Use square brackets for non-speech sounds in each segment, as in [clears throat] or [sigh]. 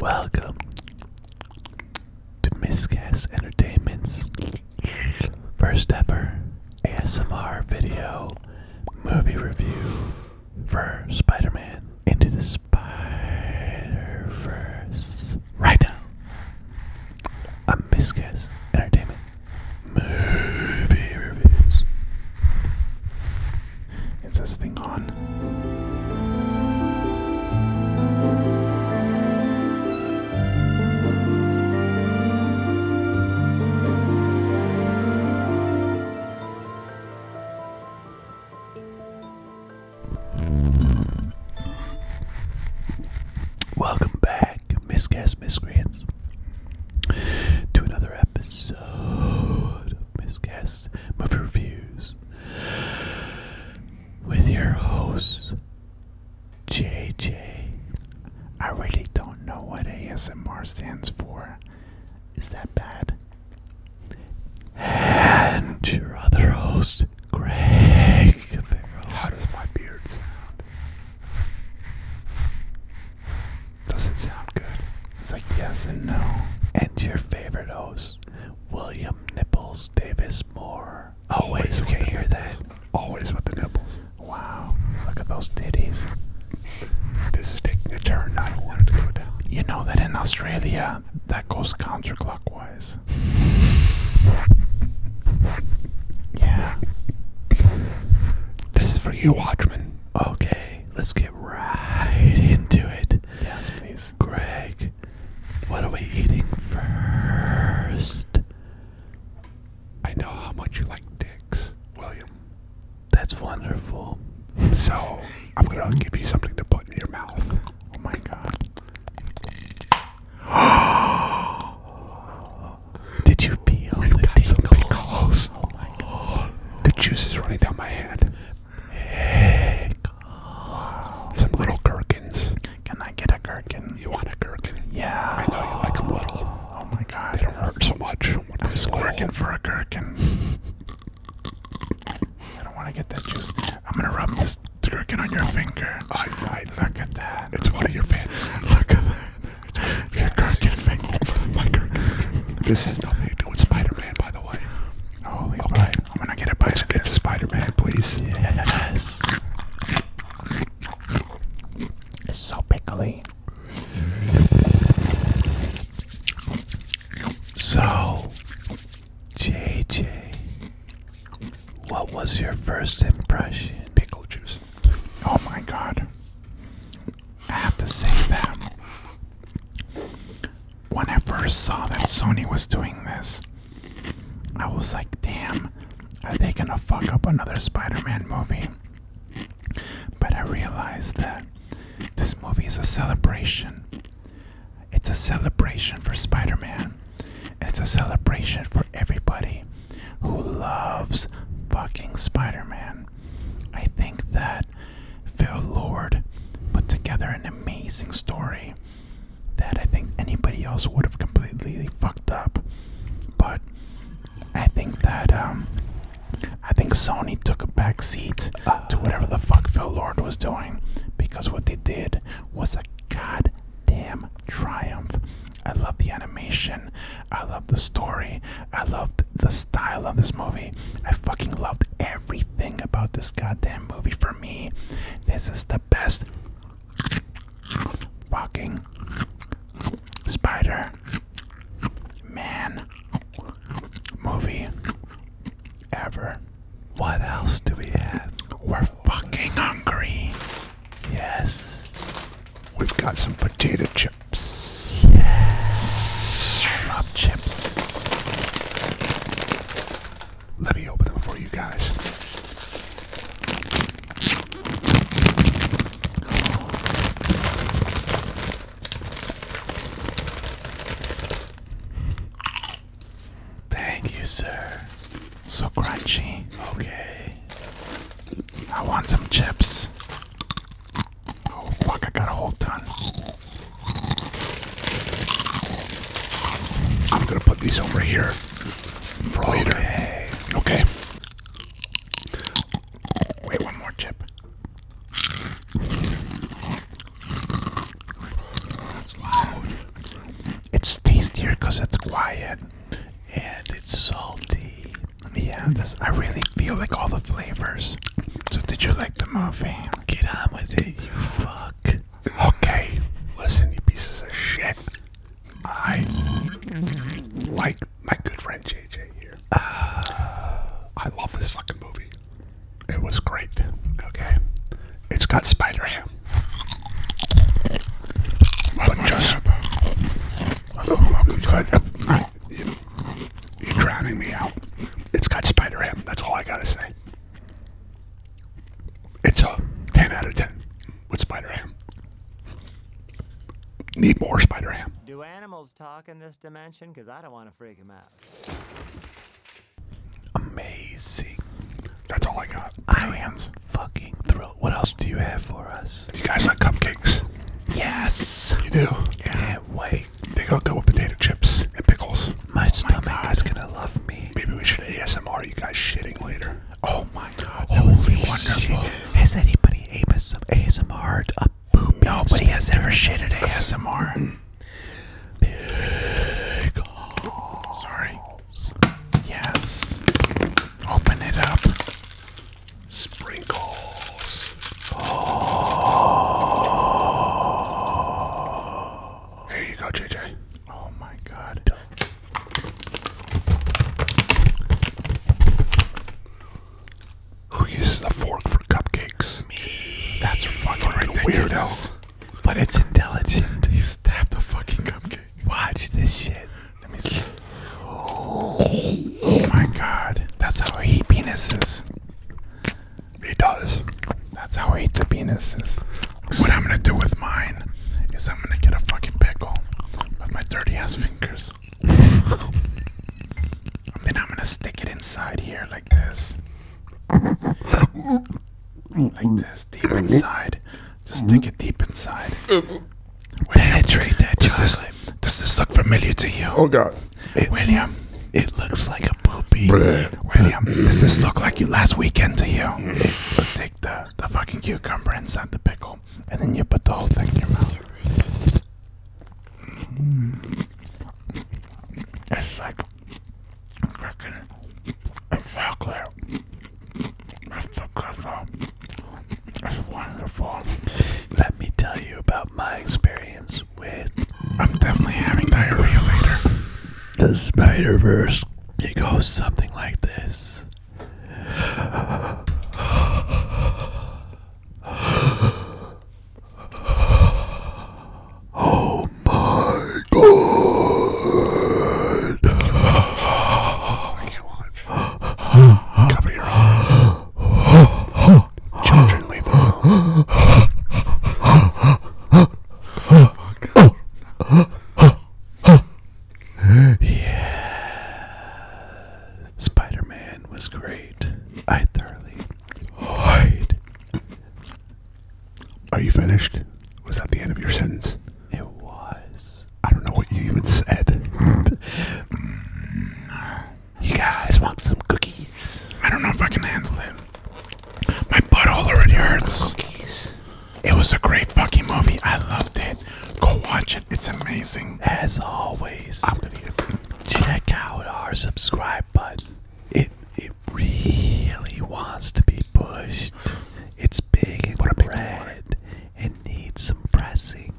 Welcome to Miscast Entertainment's first ever ASMR video movie review for Spider Man Into the Spider Verse. Right now, on Miscast Entertainment movie reviews. It's this thing on? Welcome back, miscast miscreants, to another episode of guests, reviews, with your hosts, JJ. I really don't know what ASMR stands for. Is that bad? And your other host, Greg How does my beard sound? Does it sound good? It's like yes and no. And your favorite host, William Nipples Davis Moore. Oh, wait, Always you can't hear that. Always with the nipples. Wow, look at those titties. This is taking a turn. I don't want to go down. You know that in Australia, that goes counterclockwise. Yeah. This is for you, Watchman. Okay, let's get right into it. Yes, please. Greg, what are we eating first? I know how much you like dicks, William. That's wonderful. So, I'm gonna give you something to put in your mouth. Oh my god. [gasps] Did you feel the got Oh my god. The juice is running down my hand. Some little gherkins. Can I get a gherkin? You want a gherkin? Yeah. I know you like them little. Oh my god. They don't hurt so much. I'm squirking for a gherkin. I don't want to get that juice. I'm gonna rub this gherkin on your finger. I, I, Look at that. It's one of your fantasies. Look at that. Your Kirk can fingle my Kirk. This has nothing to do with Spider-Man, by the way. Holy okay. I'm gonna get a bite of this. Spider-Man, please. Yes. It's so pickly. So, JJ, what was your first impression? Pickle juice. Oh my god. I have to say that when I first saw that Sony was doing this, I was like, damn, are they gonna fuck up another Spider Man movie? But I realized that this movie is a celebration. It's a celebration for Spider Man. and It's a celebration for everybody who loves fucking Spider Man. I think that Phil Lord put together an amazing story that I think anybody else would have completely fucked up. But I think that um I think Sony took a back seat to whatever the fuck Phil Lord was doing because what they did was a goddamn triumph. I love the animation. I loved the story. I loved the style of this movie. I fucking loved everything about this goddamn movie. For me, this is the best fucking Spider Man movie ever. What else do we have? We're fucking hungry. Yes. We've got some potato chips. Yes. chips. Let me open them for you guys. Thank you, sir. So crunchy. Okay. I want some chips. Oh fuck, I got a whole ton. I'm gonna put these over here for later. Okay. Wait, one more chip. It's loud. It's tastier it's quiet and it's salty. Yeah, I really feel like all the flavors. So did you like the movie? Get on with it, you fuck. Okay, listen, you pieces of shit. I like my good friend JJ here. Ah, I love this fucking movie. It was great. Okay, it's got Spider Ham. But just, you're drowning me out. It's got spider ham. That's all I gotta say. It's a 10 out of 10 with spider ham. Need more spider ham. Do animals talk in this dimension? Because I don't want to freak them out. Amazing. That's all I got. I am fucking thrilled. What, else do you have for us? You guys like cupcakes? Yes. You do? Can't wait. They go good with potato chips and pickles. My oh stomach my is gonna love me. Maybe we should ASMR you guys shitting later. Oh my god. Holy wonderful. Shit. Has anybody some ASMR a poop? Nobody has ever shitted ASMR. [clears throat] Sorry. Yes. Open it up. Sprinkles. Oh. Here you go, JJ. Oh my god. Duh. Who uses a fork for cupcakes? Me. That's fucking Weirdo. But it's intelligent. He stabbed the fucking cupcake. Watch this shit. Oh, my god. That's how he penises. He does. That's how I eat the penises. What I'm gonna do with mine is I'm gonna get a fucking pickle with my dirty ass fingers. and then I'm gonna stick it inside here like this. Like this, deep inside. Just take it deep inside. Penetrate that does this, look familiar to you? Oh God, It- William, It looks like a poopy. William, does this look like your last weekend to you? Take the, the fucking cucumber inside the pickle, and then you put the whole thing in your mouth. Mm. It's like cracking a chocolate that's so good That's wonderful. Let me tell you about my experience with. I'm definitely having diarrhea later. The Spider Verse. It goes something like this. [gasps] Oh my good. I can't watch. Cover your eyes. Children, leave alone. Spider-Man was great. I thoroughly enjoyed are you finished? Was that the end of your sentence? It was. I don't know what you even said. you guys want some cookies? I don't know if I can handle it. My butt already hurts. Cookies. It was a great fucking movie. I loved it. Go watch it. It's amazing. As always, check out our subscribe button. It it really wants to be pushed. It's big and what red and needs some pressing.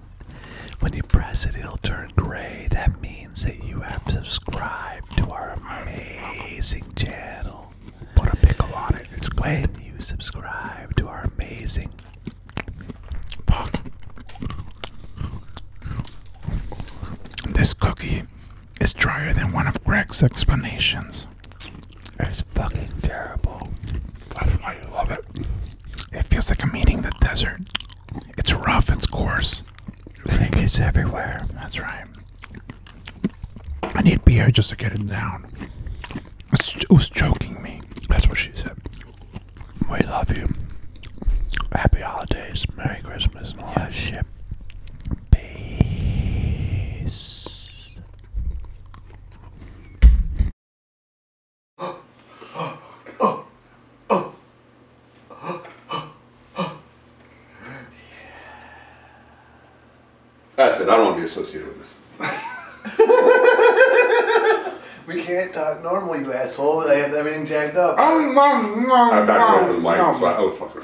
When you press it, it'll turn gray. That means that you have subscribed to our amazing channel. Put a pickle on it. It's When you subscribe to our amazing. This cookie is drier than one of Greg's explanations. It's fucking terrible. That's why I love it. It feels like I'm eating the desert. It's rough, it's coarse. And it everywhere. That's right. I need beer just to get it down. It's, it was choking me. That's what she said. We love you. Happy holidays. Merry Christmas and all yes. that shit. That's it. I don't want to be associated with this. [laughs] we can't talk normally, you asshole. They have everything jacked up. I'm back over the mic, so I